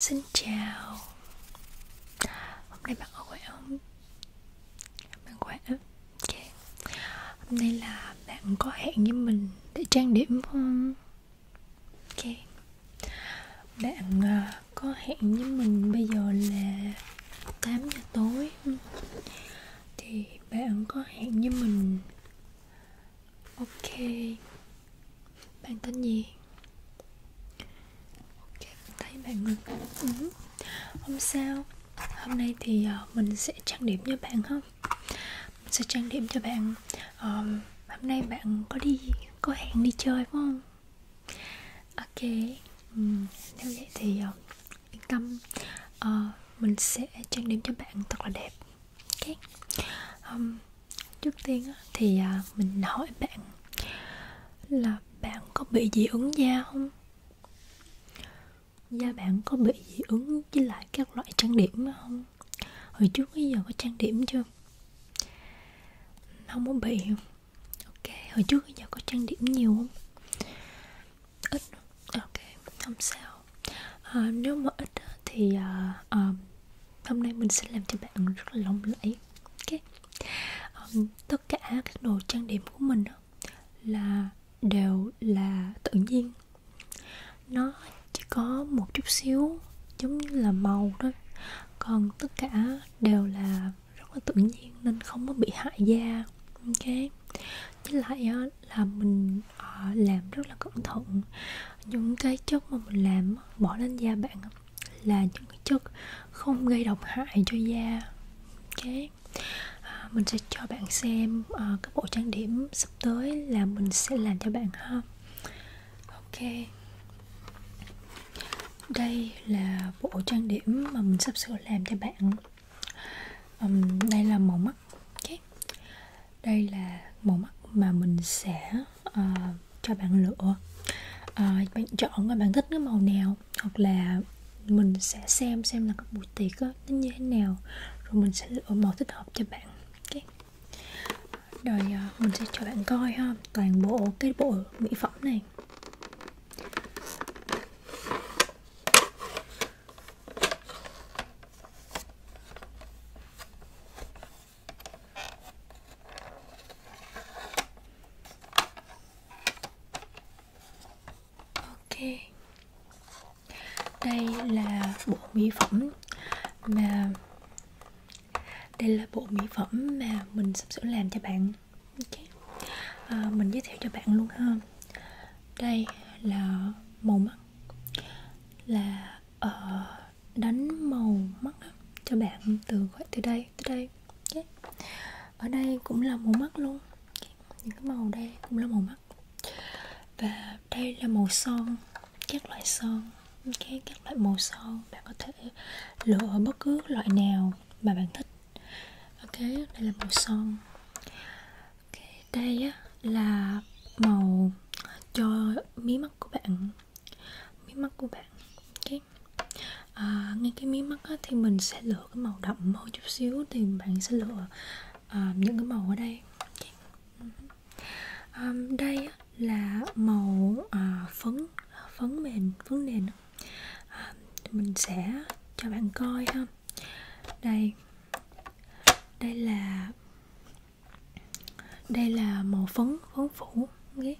Xin chào Hôm nay bạn có khỏe không? Bạn khỏe Ok Hôm nay là bạn có hẹn với mình để trang điểm không? Ok Bạn à, có hẹn với mình bây giờ là 8 giờ tối Thì bạn có hẹn với mình Ok bạn tên gì ok thấy bạn ngừng ừ. không sao hôm nay thì uh, mình sẽ trang điểm cho bạn không mình sẽ trang điểm cho bạn uh, hôm nay bạn có đi có hẹn đi chơi phải không ok ừ. nếu vậy thì uh, yên tâm uh, mình sẽ trang điểm cho bạn thật là đẹp ok um, trước tiên thì à, mình hỏi bạn là bạn có bị dị ứng da không da bạn có bị dị ứng với lại các loại trang điểm không hồi trước bây giờ có trang điểm chưa không có bị không ok hồi trước bây giờ có trang điểm nhiều không ít ok không sao à, nếu mà ít thì à, à, hôm nay mình sẽ làm cho bạn rất là lộng lẫy ok um, tất cả các đồ trang điểm của mình đó là đều là tự nhiên nó chỉ có một chút xíu giống như là màu đó còn tất cả đều là rất là tự nhiên nên không có bị hại da ok với lại là mình ờ, làm rất là cẩn thận những cái chất mà mình làm bỏ lên da bạn là những cái chất không gây độc hại cho da ok à, mình sẽ cho bạn xem à, các bộ trang điểm sắp tới là mình sẽ làm cho bạn ha ok đây là bộ trang điểm mà mình sắp sửa làm cho bạn um, đây là màu mắt okay. đây là màu mắt mà mình sẽ uh, cho bạn lựa uh, bạn chọn là bạn thích cái màu nào hoặc là mình sẽ xem xem là các buổi tiệc đó, nó như thế nào rồi mình sẽ lựa màu thích hợp cho bạn okay. rồi uh, mình sẽ cho bạn coi ha toàn bộ cái bộ mỹ phẩm này ok đây là bộ mỹ phẩm mà đây là bộ mỹ phẩm mà mình sắp sửa làm cho bạn okay. à, mình giới thiệu cho bạn luôn ha đây là màu mắt là uh, đánh màu mắt cho bạn từ gọi từ đây từ đây yeah. ở đây cũng là màu mắt luôn những cái màu đây cũng là màu mắt và đây là màu son các loại son okay, các loại màu son bạn có thể lựa bất cứ loại nào mà bạn thích ok đây là màu son okay, đây á, là màu cho mí mắt của bạn mí mắt của bạn okay. à, ngay cái mí mắt á, thì mình sẽ lựa cái màu đậm hơn chút xíu thì bạn sẽ lựa à, những cái màu ở đây okay. à, đây á, là màu à, phấn phấn mềm phấn nền à, mình sẽ cho bạn coi ha đây đây là đây là màu phấn phấn phủ okay.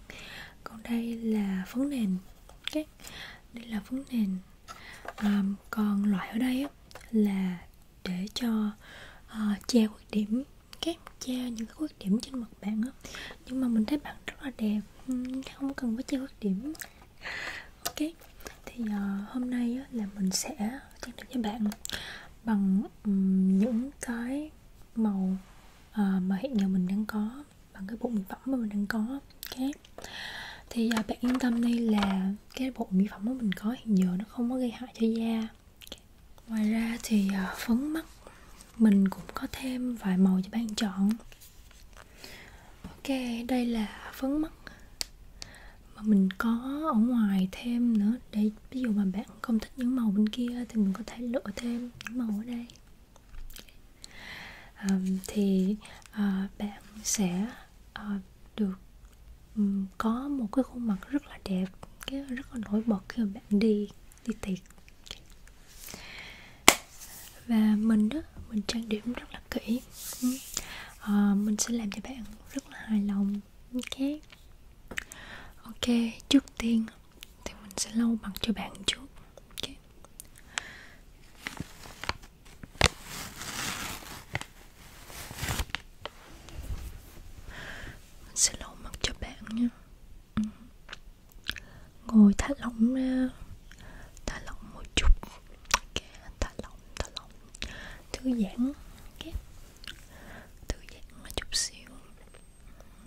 còn đây là phấn nền okay. đây là phấn nền à, còn loại ở đây á, là để cho uh, che khuyết điểm các che những cái khuyết điểm trên mặt bạn á nhưng mà mình thấy bạn rất là đẹp không cần phải che khuyết điểm ok thì uh, hôm nay á, là mình sẽ trang điểm cho bạn bằng um, những cái màu uh, mà hiện giờ mình đang có bằng cái bộ mỹ phẩm mà mình đang có khác thì uh, bạn yên tâm đây là cái bộ mỹ phẩm mà mình có hiện giờ nó không có gây hại cho da ngoài ra thì uh, phấn mắt mình cũng có thêm vài màu cho bạn chọn ok đây là phấn mắt mà mình có ở ngoài thêm nữa để ví dụ mà bạn không thích thích những màu bên kia thì mình có thể lựa thêm những màu ở đây um, thì uh, bạn sẽ uh, được um, có một cái khuôn mặt rất là đẹp cái rất là nổi bật khi mà bạn đi đi tiệc và mình đó mình trang điểm rất là kỹ uh, mình sẽ làm cho bạn rất là hài lòng ok ok trước tiên thì mình sẽ lau mặt cho bạn trước okay. mình sẽ lau mặt cho bạn nha ừ. ngồi thả lỏng ra thả lỏng một chút okay. thả lỏng thả lỏng thư giãn okay. thư giãn một chút xíu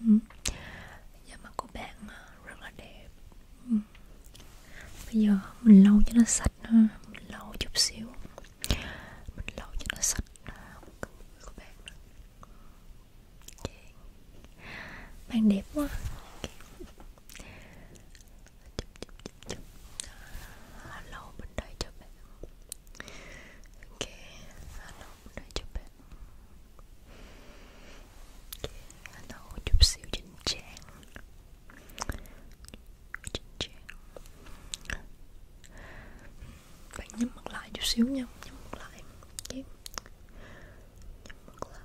da dạ, mặt của bạn ờ, rất là đẹp bây giờ mình lau cho nó sạch ha mình lau chút xíu mình lau cho nó sạch ờ, của bạn okay. bạn đẹp quá okay. chụp chụp chụp chụp lau bên đây cho bạn Oke, ana ucupin Ana ucup si ujinceng Ujinceng Bạn nhắm mặt lại chút xíu nha Nhắm mặt lại Nhắm mặt lại Nhắm mặt lại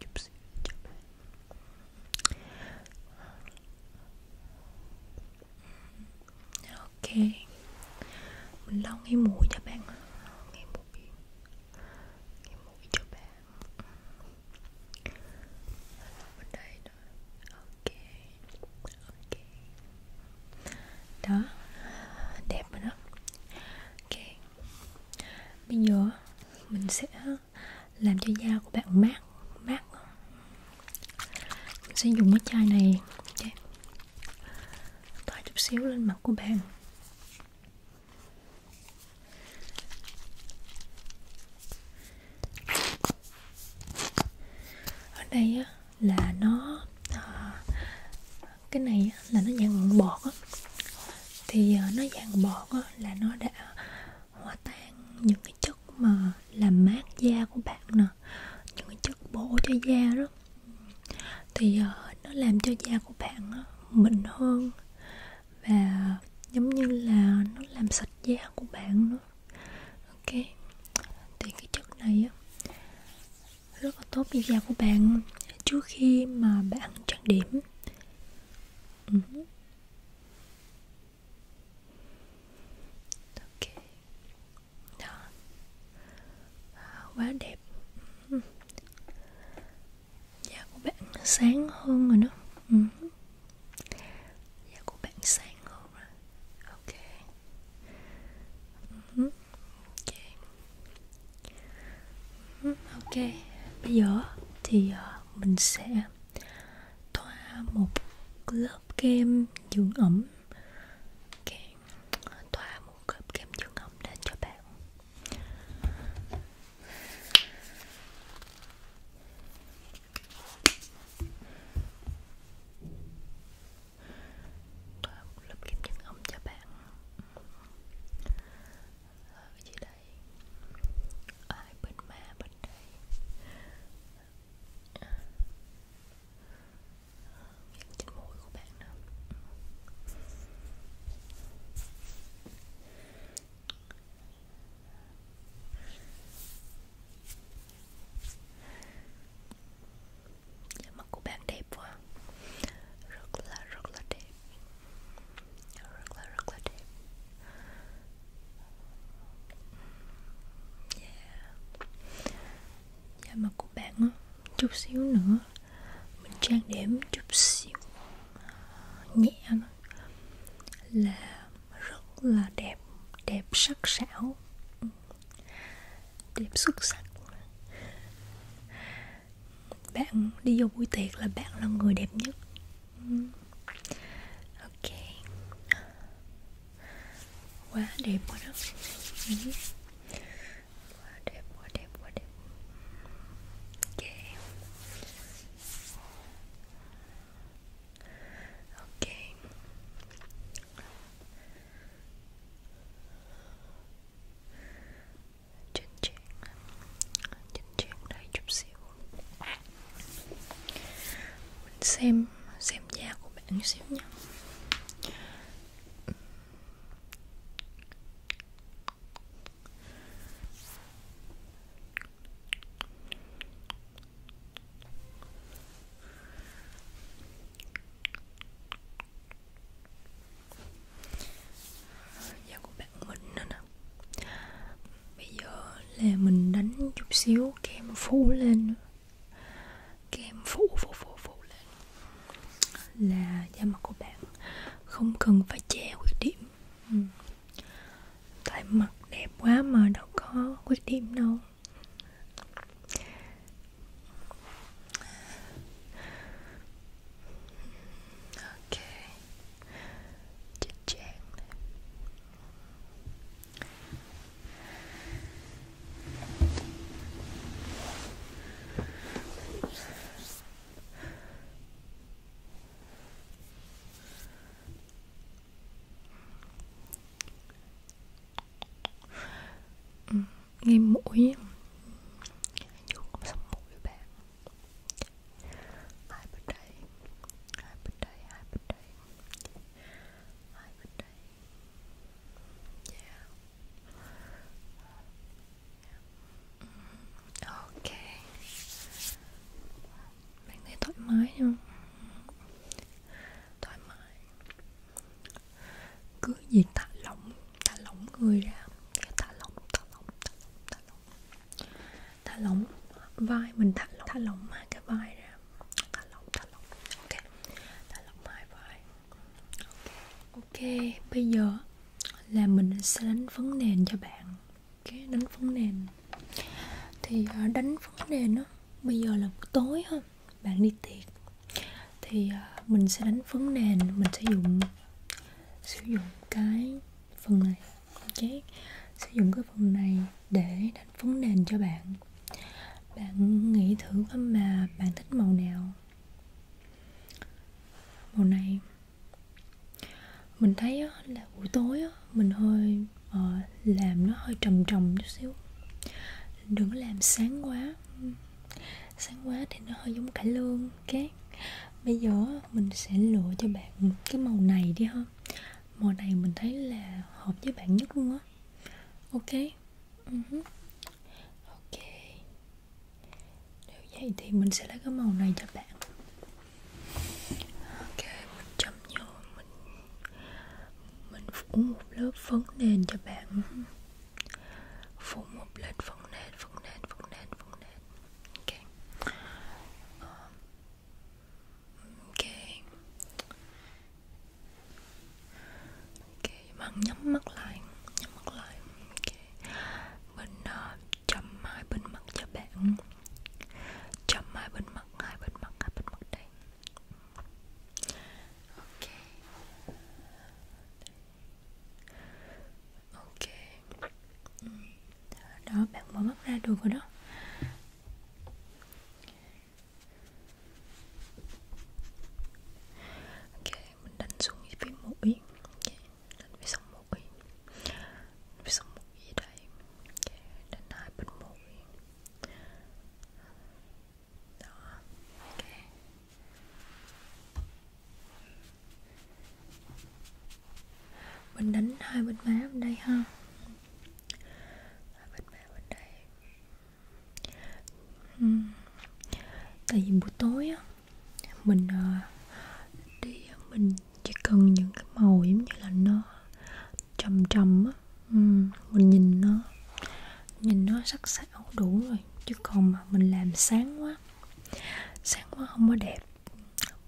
Chút xíu cho bạn ok mình lau ngay mũi cho bạn ngay mũi ngay mũi cho bạn lau bên đây nữa ok ok đó đẹp rồi đó ok bây giờ mình sẽ làm cho da của bạn mát mát mình sẽ dùng cái chai này okay. thoa chút xíu lên mặt của bạn ở đây á, là nó à, cái này là nó dạng bọt á thì à, nó dạng bọt á, là nó đã hòa tan những cái chất mà làm mát da của bạn nè những cái chất bổ cho da đó thì uh, nó làm cho da của bạn uh, mịn hơn và giống như là nó làm sạch da của bạn nữa ok thì cái chất này á rất là tốt cho da của bạn trước khi mà bạn trang điểm uh-huh ok đó à, quá đẹp da ừ. dạ, của bạn sáng hơn rồi đó da ừ. dạ, của bạn sáng hơn rồi ok ừ. ok ừ. ok bây giờ thì à, mình sẽ thoa một lớp kem dưỡng ẩm kem, thoa một lớp kem dưỡng ẩm lên cho bạn thoa một lớp kem dưỡng ẩm cho bạn gì đó đây ai bên ma bên đây miệng à. trên mũi của bạn nữa Dạ, mặt của bạn đẹp quá Rất là rất là đẹp Rất là rất là đẹp Dạ Dạ mặt của bạn á Chút xíu nữa Mình trang điểm chút xíu Nhẹ thôi Là rất là đẹp Đẹp sắc sảo Đẹp xuất sắc Bạn đi vô buổi tiệc là bạn là người đẹp nhất ok quá đẹp quá đó ừ. quá đẹp quá đẹp quá đẹp ok ok chỉnh chỉnh chỉnh chỉnh đây chút xíu mình xem xem da của bạn xíu nha da của bạn mình nữa nè bây giờ là mình đánh chút xíu kem phủ lên kem phủ phủ phủ phủ lên là da mặt của bạn không cần phải che khuyết điểm ừ. tại mặt đẹp quá mà đâu có khuyết điểm đâu ok chỉnh trang này. nghe mũi như con sông mũi bạn hai bên đây hai bên đây hai bên đây hai bên đây yeah. yeah. ok bạn thấy thoải mái không thoải mái cứ gì thả lỏng thả lỏng người ra thả lỏng thả lỏng thả lỏng thả lỏng thả lỏng vai mình thả lỏng, thả lỏng hai cái vai ra thả lỏng thả lỏng ok thả lỏng hai vai ok ok bây giờ là mình sẽ đánh phấn nền cho bạn cái okay, đánh phấn nền thì à, đánh phấn nền đó bây giờ là buổi tối ha bạn đi tiệc thì à, mình sẽ đánh phấn nền mình sẽ dùng sử dụng cái phần này chát sử dụng cái phần này để đánh phấn nền cho bạn bạn nghĩ thử coi mà bạn thích màu nào màu này mình thấy á, là buổi tối á, mình hơi uh, làm nó hơi trầm trầm chút xíu đừng có làm sáng quá sáng quá thì nó hơi giống cải lương cát bây giờ mình sẽ lựa cho bạn cái màu này đi ha mùa này mình thấy là hợp với bạn nhất luôn á ok uh-huh. ok nếu vậy thì mình sẽ lấy cái màu này cho bạn ok mình chấm vô mình mình phủ một lớp phấn nền cho bạn phủ một lớp phấn nền phấn nền phấn nền phấn nền ok uh, Okay. ok bạn nhắm mắt lại nhắm mắt lại ok mình uh, ờ, chậm hai bên mặt cho bạn chậm hai bên mặt hai bên mặt hai bên mặt đây ok ok ừ đó bạn mở mắt ra được rồi đó ok mình đánh xuống phía mũi okay. đánh phía sông mũi phía sông mũi gì đây okay. đánh hai bên mũi đó ok mình đánh hai bên má bên đây ha Hai bên má bên đây ừ. Tại vì buổi tối á Mình uh, đi Mình chỉ cần những cái màu giống như là nó Trầm trầm á ừ. Mình nhìn nó Nhìn nó sắc sảo đủ rồi Chứ còn mà mình làm sáng quá Sáng quá không có đẹp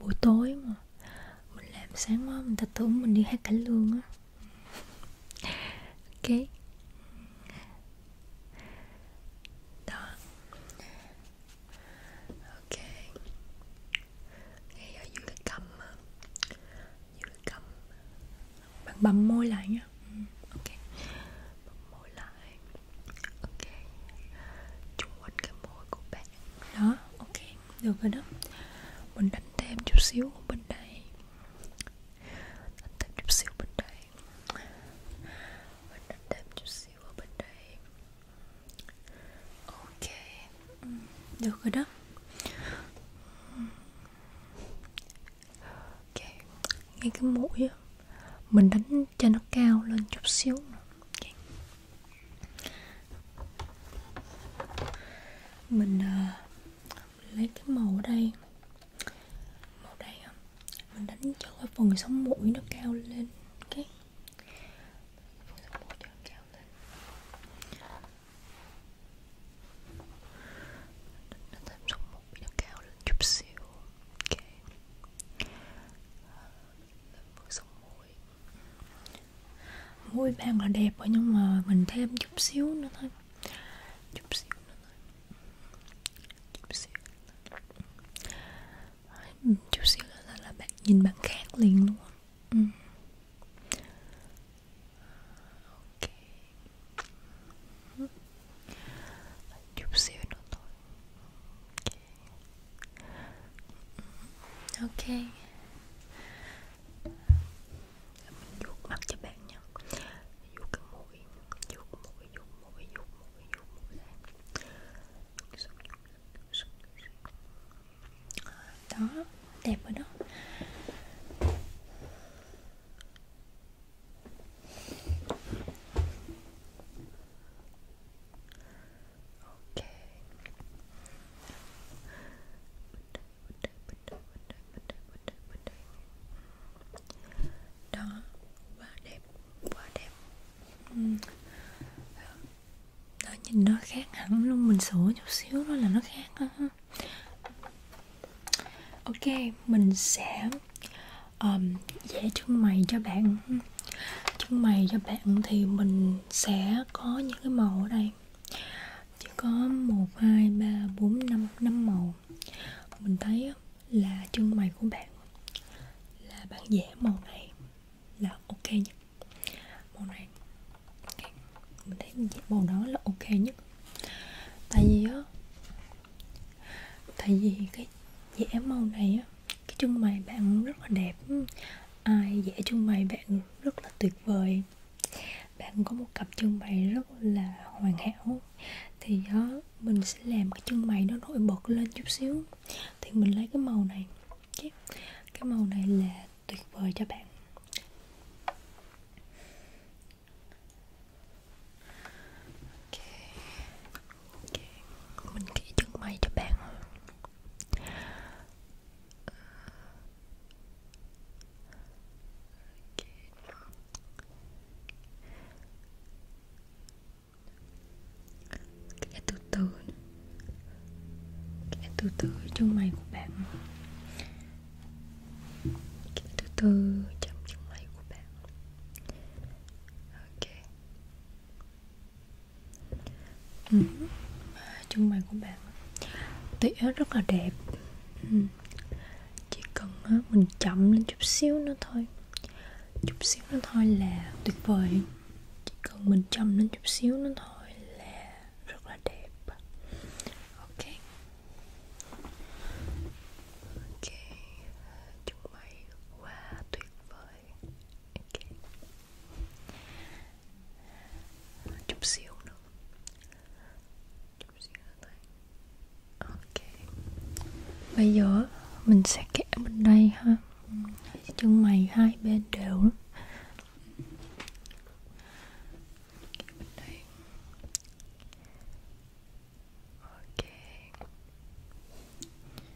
Buổi tối mà mình làm sáng quá mình ta tưởng mình đi hát cải lương á ok đó ok ngay ở dưới cái cầm dưới cái cầm bạn bầm môi lại nhá ừ, ok bầm môi lại ok chung quanh cái môi của bạn đó ok được rồi đó mình đánh thêm chút xíu bên đây đánh thêm chút xíu bên đây mình đánh thêm chút xíu ở bên đây ok ừ, được rồi đó ok ngay cái mũi á mình đánh cho nó cao lên chút xíu okay mình uh, lấy cái màu ở đây màu đây mình đánh cho cái phần sống mũi nó cao lên cái phần sống mũi cho cao lên đánh thêm sống mũi nó cao lên chút xíu ok ờ, phần sống mũi rồi mũi bạn là đẹp rồi nhưng mà mình thêm chút xíu nữa thôi chút xíu nữa thôi chút xíu nữa thôi. chút xíu nữa là, là bạn nhìn bạn khác liền luôn ừ. ok chút xíu nữa thôi ok ok mình vuốt mặt cho bạn nha vuốt cái mũi vuốt mũi vuốt mũi vuốt mũi vuốt mũi lên đó đẹp rồi đó Ok Đó, quá đẹp, quá đẹp Đó, nhìn nó khác hẳn luôn, mình sửa chút xíu đó là nó khác đó. Ok, mình sẽ um, vẽ chân mày cho bạn Chân mày cho bạn thì mình mình sẽ có những cái màu ở đây chỉ có 1, 2, 3, 4, 5, 5 màu mình thấy là chân mày của bạn là bạn vẽ màu này là ok nhất màu này okay. mình thấy mình vẽ màu đó là ok nhất tại vì á tại vì cái vẽ màu này á cái trưng bày bạn rất là đẹp ai dễ trưng bày bạn rất là tuyệt vời bạn có một cặp trưng bày rất là hoàn hảo thì đó mình sẽ làm cái trưng bày nó nổi bật lên chút xíu thì mình lấy cái màu này cái, cái màu này là tuyệt vời cho bạn okay mình kỹ chân mày cho bạn hơn kẻ từ từ kẻ từ từ chân mày của bạn kẻ từ từ chậm chân mày của bạn ok ừ. Chân mày của bạn tỉa rất là đẹp ừ. Chỉ cần mình chậm lên chút xíu nữa thôi Chút xíu nữa thôi là tuyệt vời Chỉ cần mình chậm lên chút xíu nữa thôi là rất là đẹp Ok Ok Chúng mày quá wow, tuyệt vời okay. chút xíu nữa chút xíu nữa ok bây giờ mình sẽ kẻ bên đây ha chân mày hai bên đều lắm Okay.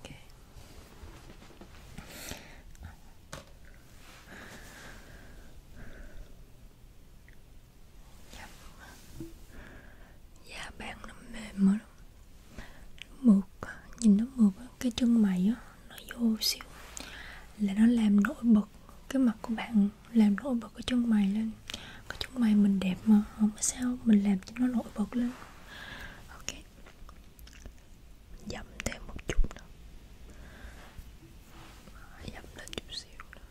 Okay. Dạ. dạ bạn nó mềm mà mượt nhìn nó mượt cái chân mày á nó vô xíu là nó làm nổi bật cái mặt của bạn làm nổi bật cái chân mày lên cái chân mày mình đẹp mà không có sao mình làm cho nó nổi bật lên ok dậm thêm một chút nữa dậm lên chút xíu nữa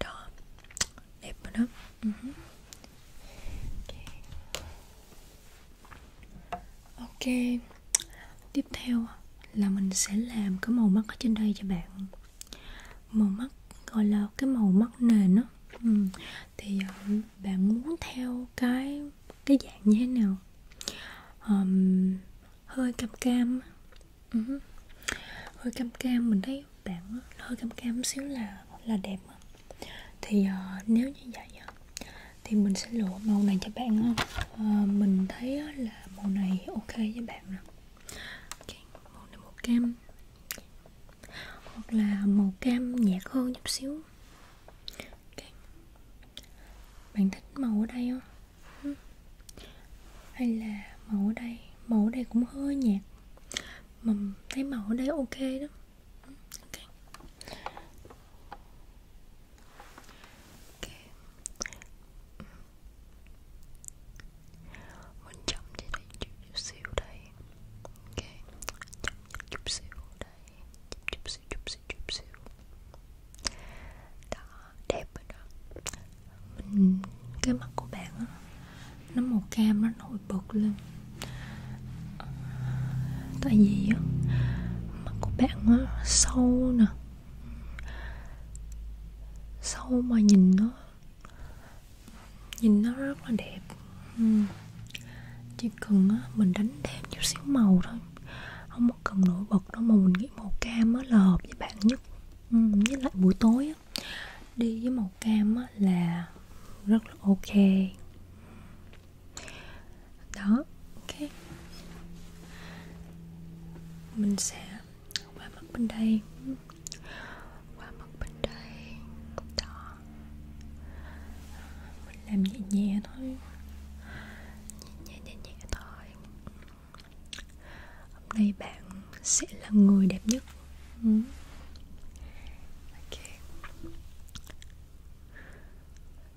đó đẹp rồi đó uh-huh. ok tiếp theo là mình sẽ làm cái màu mắt ở trên đây cho bạn màu mắt gọi là cái màu mắt nền đó ừ. thì ờ, bạn muốn theo cái cái dạng như thế nào um, hơi cam cam uh-huh. hơi cam cam mình thấy bạn hơi cam cam xíu là là đẹp thì uh, nếu như vậy thì mình sẽ lựa màu này cho bạn không uh, ờ, mình thấy là màu này ok với bạn nè okay, màu này màu cam hoặc là màu cam nhạt hơn chút xíu okay. bạn thích màu ở đây không ừ. hay là màu ở đây màu ở đây cũng hơi nhạt mà thấy màu ở đây ok đó ừ, okay ok mình chậm đi đây chút, chút xíu đây ok chậm chút xíu đây chút xíu chút xíu chút xíu đó đẹp rồi đó mình cái mặt của bạn đó, nó màu cam nó nổi bật lên ờ, tại vì á mặt của bạn á sâu nè sâu mà nhìn nó nhìn nó rất là đẹp ừ. chỉ cần á, mình đánh thêm chút xíu màu thôi không có cần nổi bật đâu mà mình nghĩ màu cam á, là hợp với bạn nhất ừ. với lại buổi tối á, đi với màu cam á, là rất là ok đó ok mình sẽ qua mặt bên đây qua mặt bên đây đó mình làm nhẹ nhẹ thôi nhẹ nhẹ nhẹ nhẹ thôi hôm nay bạn sẽ là người đẹp nhất ừ. ok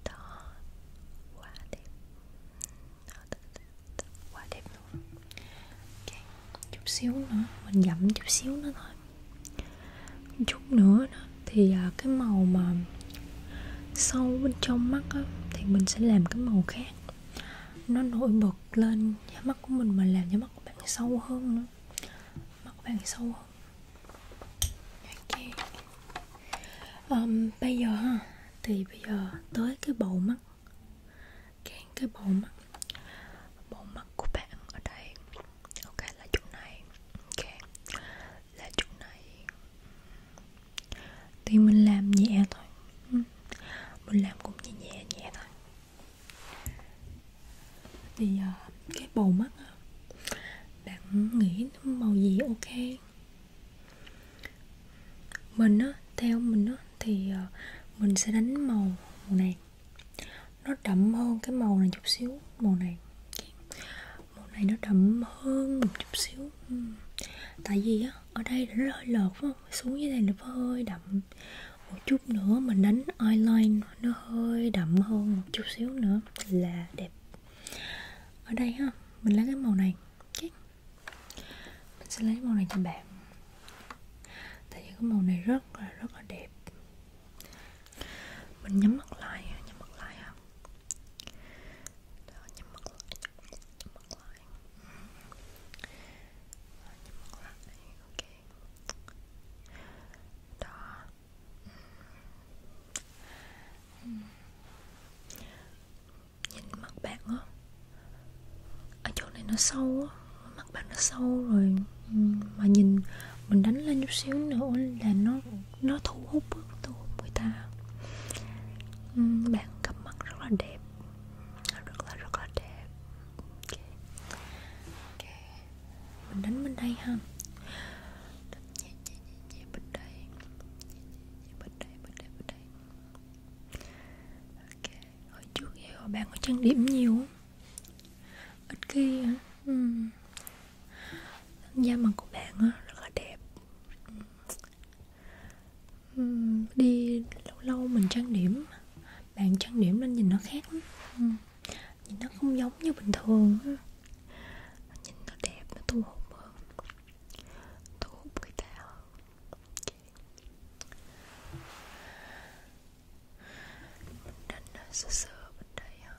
đó quá đẹp đó, đó, đó quá đẹp luôn okay. chút xíu nữa mình dặm chút xíu nữa thôi chút nữa đó, thì à, cái màu mà sâu bên trong mắt á, thì mình sẽ làm cái màu khác nó nổi bật lên da mắt của mình mà làm cho mắt của bạn sâu hơn nữa mắt của bạn sâu hơn okay. um, bây giờ ha thì bây giờ tới cái bầu mắt Kén cái bầu mắt Bầu mắt của bạn ở đây Ok là chỗ này Ok Là chỗ này Thì mình làm nhẹ thôi ừ. Mình làm cũng nhẹ nhẹ nhẹ thôi Thì ờ, cái bầu mắt Bạn nghĩ màu gì ok mình á theo mình á thì ờ, mình sẽ đánh màu màu này nó đậm hơn cái màu này chút xíu màu này màu này nó đậm hơn một chút xíu ừ. tại vì á ở đây nó hơi lợt phải không xuống dưới đây nó hơi đậm một chút nữa mình đánh eyeliner nó hơi đậm hơn một chút xíu nữa là đẹp ở đây ha mình lấy cái màu này mình sẽ lấy màu này cho bạn tại vì cái màu này rất là rất là đẹp mình nhắm mắt lại nhắm mắt lại không Đó, nhắm mắt lại nhắm mắt lại nhắm mắt lại ok đó nhìn mặt bạn á ở chỗ này nó sâu á mặt bạn nó sâu rồi mà nhìn mình đánh lên chút xíu nữa là nó nó thu hút thu hút người ta bạn cặp mắt rất là đẹp rất là rất là đẹp okay. Okay. mình đánh bên đây ha ok hồi trước giờ bạn có trang điểm nhiều không ít khi hả ừ. da mặt của bạn á rất là đẹp ừ. đi lâu lâu mình trang điểm bạn trang điểm nên nhìn nó khác lắm ừ. nhìn nó không giống như bình thường á nhìn nó đẹp nó thu hút hơn thu hút người ta mình đánh nó sơ sơ bên đây ha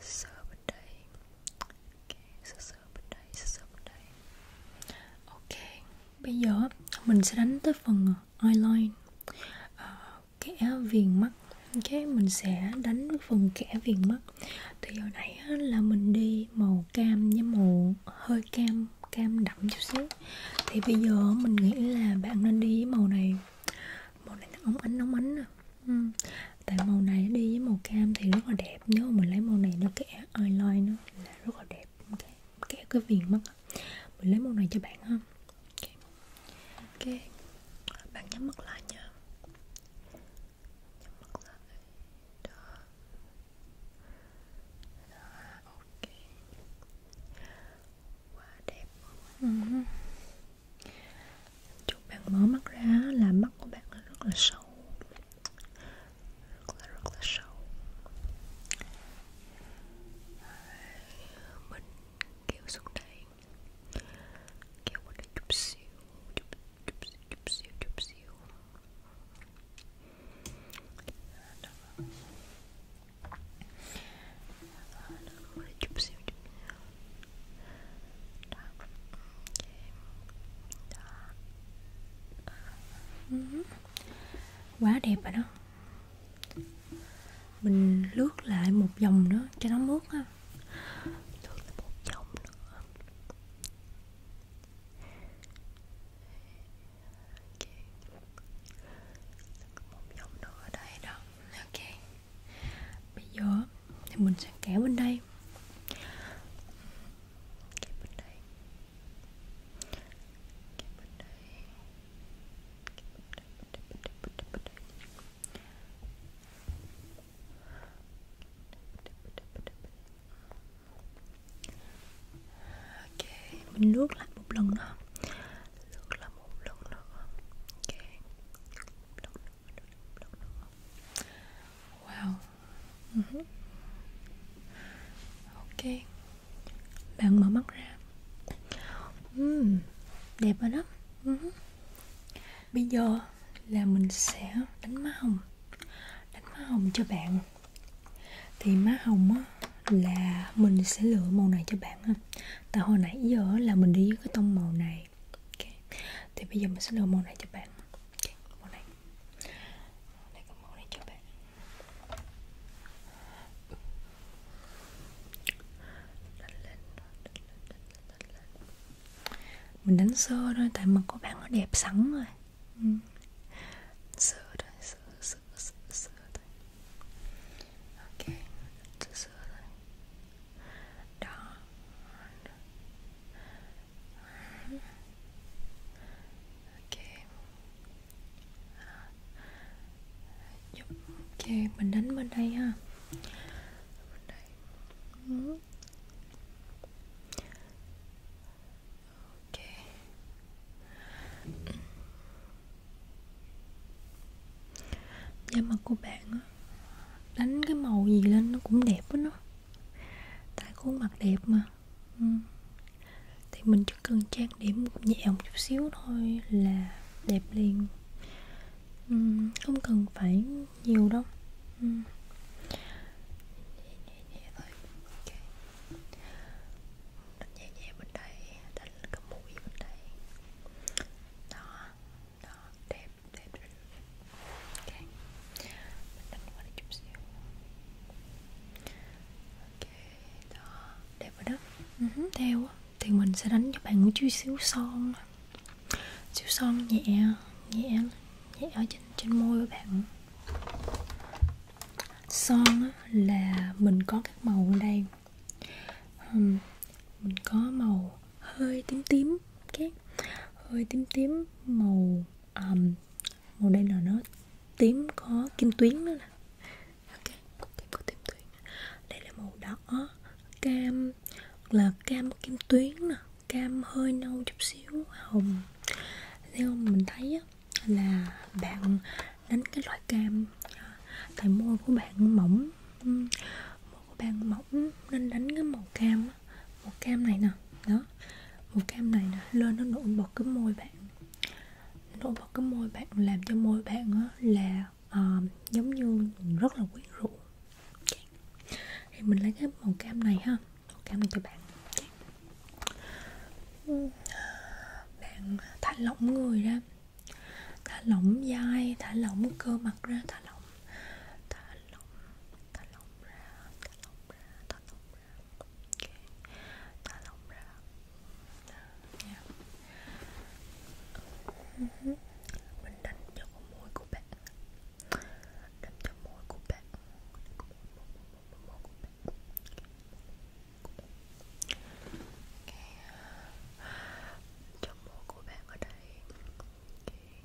Sơ bên đây Ok, sơ sơ bên đây, sơ sơ bên đây Ok, bây giờ mình sẽ đánh tới phần eyeliner à, ờ, Kẻ viền mắt Ok, mình sẽ đánh phần kẻ viền mắt thì giờ nãy là mình đi màu cam với màu hơi cam cam đậm chút xíu thì bây giờ mình nghĩ là bạn nên đi với màu này màu này nó ống ánh ống ánh à. ừ. tại màu này đi với màu cam thì rất là đẹp nếu mà mình lấy màu này nó kẻ eyeliner nó là rất là đẹp okay. kẻ cái viền mất mình lấy màu này cho bạn ha ok, okay. bạn nhắm mắt lại nha nhưng mặt là ấy đó đó ok quá đẹp luôn chúc bạn mở mắt ra là mắt của bạn rất là sâu rất là rất là sâu mình kéo xuống đây kéo qua đây chút xíu chút chút xíu chút xíu chút xíu rồi chút xíu chút xíu đó quá đẹp rồi đó mình lướt lại một vòng nữa cho nó mướt ha lướt lại một vòng nữa một vòng nữa ở đây đó ok bây giờ thì mình sẽ kéo bên đây kéo bên đây kéo bên đây kéo bên đây bên đây bên đây bên đây bên đây ok mình lướt lại một lần nữa lướt lại một lần nữa ok một lần nữa, một lần nữa. wow uh ừ. -huh. ok bạn mở mắt ra uhm, đẹp rồi đó uh ừ. -huh bây giờ là mình sẽ đánh má hồng đánh má hồng cho bạn thì má hồng á là mình sẽ lựa màu này cho bạn ha tại hồi nãy giờ là mình đi với cái tông màu này okay. thì bây giờ mình sẽ lựa màu này cho bạn okay. màu này đây có màu này cho bạn đánh lên, đánh lên, đánh lên mình đánh sơ thôi tại mà có bạn nó đẹp sẵn rồi ừ. sơ thôi sơ sơ sơ sơ thôi ok sơ sơ thôi đó ok ok mình đánh bên đây ha bên đây. Ừ lắm ok da mặt của bạn á đánh cái màu gì lên nó cũng đẹp á nó tại khuôn mặt đẹp mà ừ. thì mình chỉ cần trang điểm nhẹ một chút xíu thôi là đẹp liền ừ, không cần phải nhiều đâu ừ. đánh nhẹ nhẹ bên đây đánh lên cái mũi bên đây đó đó đẹp đẹp đẹp, đẹp. ok mình đánh qua đây chút xíu ok đó đẹp rồi đó uh-huh. theo thì mình sẽ đánh cho bạn một chút xíu son xíu son nhẹ nhẹ Vậy ở trên, trên môi của bạn Son là mình có các màu ở đây um, Mình có màu hơi tím tím okay. Hơi tím tím màu um, Màu đây là nó tím có kim tuyến nữa nè okay. Tím có kim tuyến Đây là màu đỏ cam là cam kim tuyến nè cam hơi nâu chút xíu hồng theo mình thấy là bạn đánh cái loại cam à, tại môi của bạn mỏng môi của bạn mỏng nên đánh cái màu cam màu cam này nè đó màu cam này nè lên nó nổi bật cái môi bạn nổi bật cái môi bạn làm cho môi bạn là uh, giống như rất là quyến rũ thì mình lấy cái màu cam này ha cảm ơn các bạn bạn thả lỏng người ra thả lỏng vai thả lỏng cơ mặt ra thả lỏng thả lỏng thả lỏng ra thả lỏng ra thả lỏng ra okay. thả lỏng ra yeah. uh ừ -huh. bình tĩnh cho con môi của bạn làm cho môi của bạn okay. cho môi của bạn ở đây okay.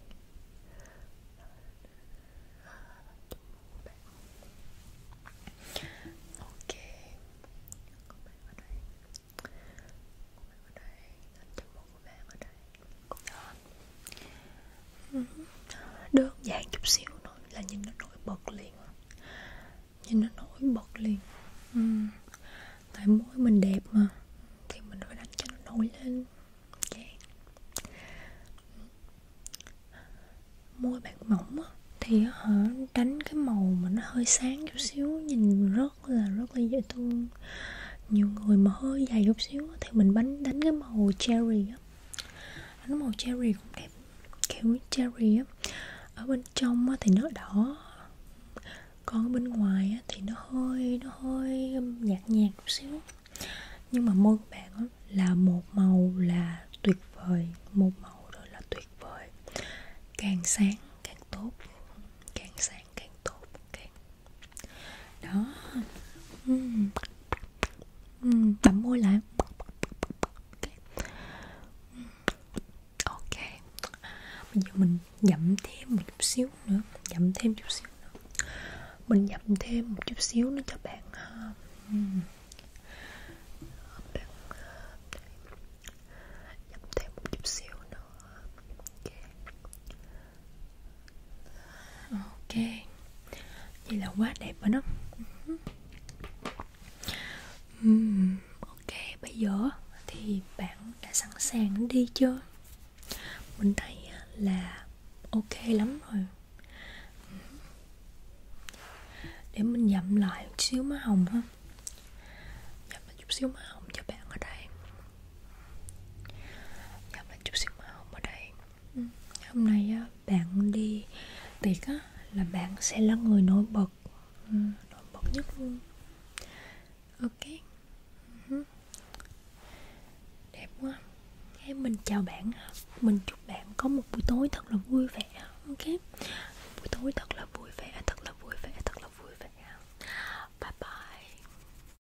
cho môi của bạn ok của bạn ở đây của bạn ở đây làm cho môi của bạn ở đây Đó đơn giản chút xíu thôi là nhìn nó nổi bật liền nhìn nó nổi bật liền ừ. tại mỗi mình đẹp mà thì mình phải đánh cho nó nổi lên okay. Dạ. môi bạn mỏng á thì hả đánh cái màu mà nó hơi sáng chút xíu nhìn rất là rất là dễ thương hơn nhiều người mà hơi dài chút xíu thì mình bánh đánh cái màu cherry á nó màu cherry cũng đẹp kiểu cherry á ở bên trong á thì nó đỏ còn ở bên ngoài á thì nó hơi nó hơi nhạt nhạt chút xíu nhưng mà môi của bạn á là một màu là tuyệt vời một màu rồi là tuyệt vời càng sáng càng tốt càng sáng càng tốt càng đó uhm. Uhm, bấm môi lại okay. ok bây giờ mình dặm thêm một chút xíu nữa mình dặm thêm chút xíu nữa mình dặm thêm một chút xíu nữa cho bạn uhm. Ờ, bạn dặm thêm một chút xíu nữa okay ok vậy là quá đẹp rồi đó uhm, ok bây giờ thì bạn đã sẵn sàng đi chưa mình thấy à, là ok lắm rồi để mình dặm lại một xíu má hồng ha dặm lại chút xíu má hồng cho bạn ở đây Dạo là chút xíu màu ở đây ừ. Hôm nay á, bạn đi tiệc á, là bạn sẽ là người nổi bật ừ, Nổi bật nhất luôn Ok uh-huh. Đẹp quá Thế mình chào bạn Mình chúc bạn có một buổi tối thật là vui vẻ Ok Buổi tối thật là vui vẻ Thật là vui vẻ Thật là vui vẻ Bye bye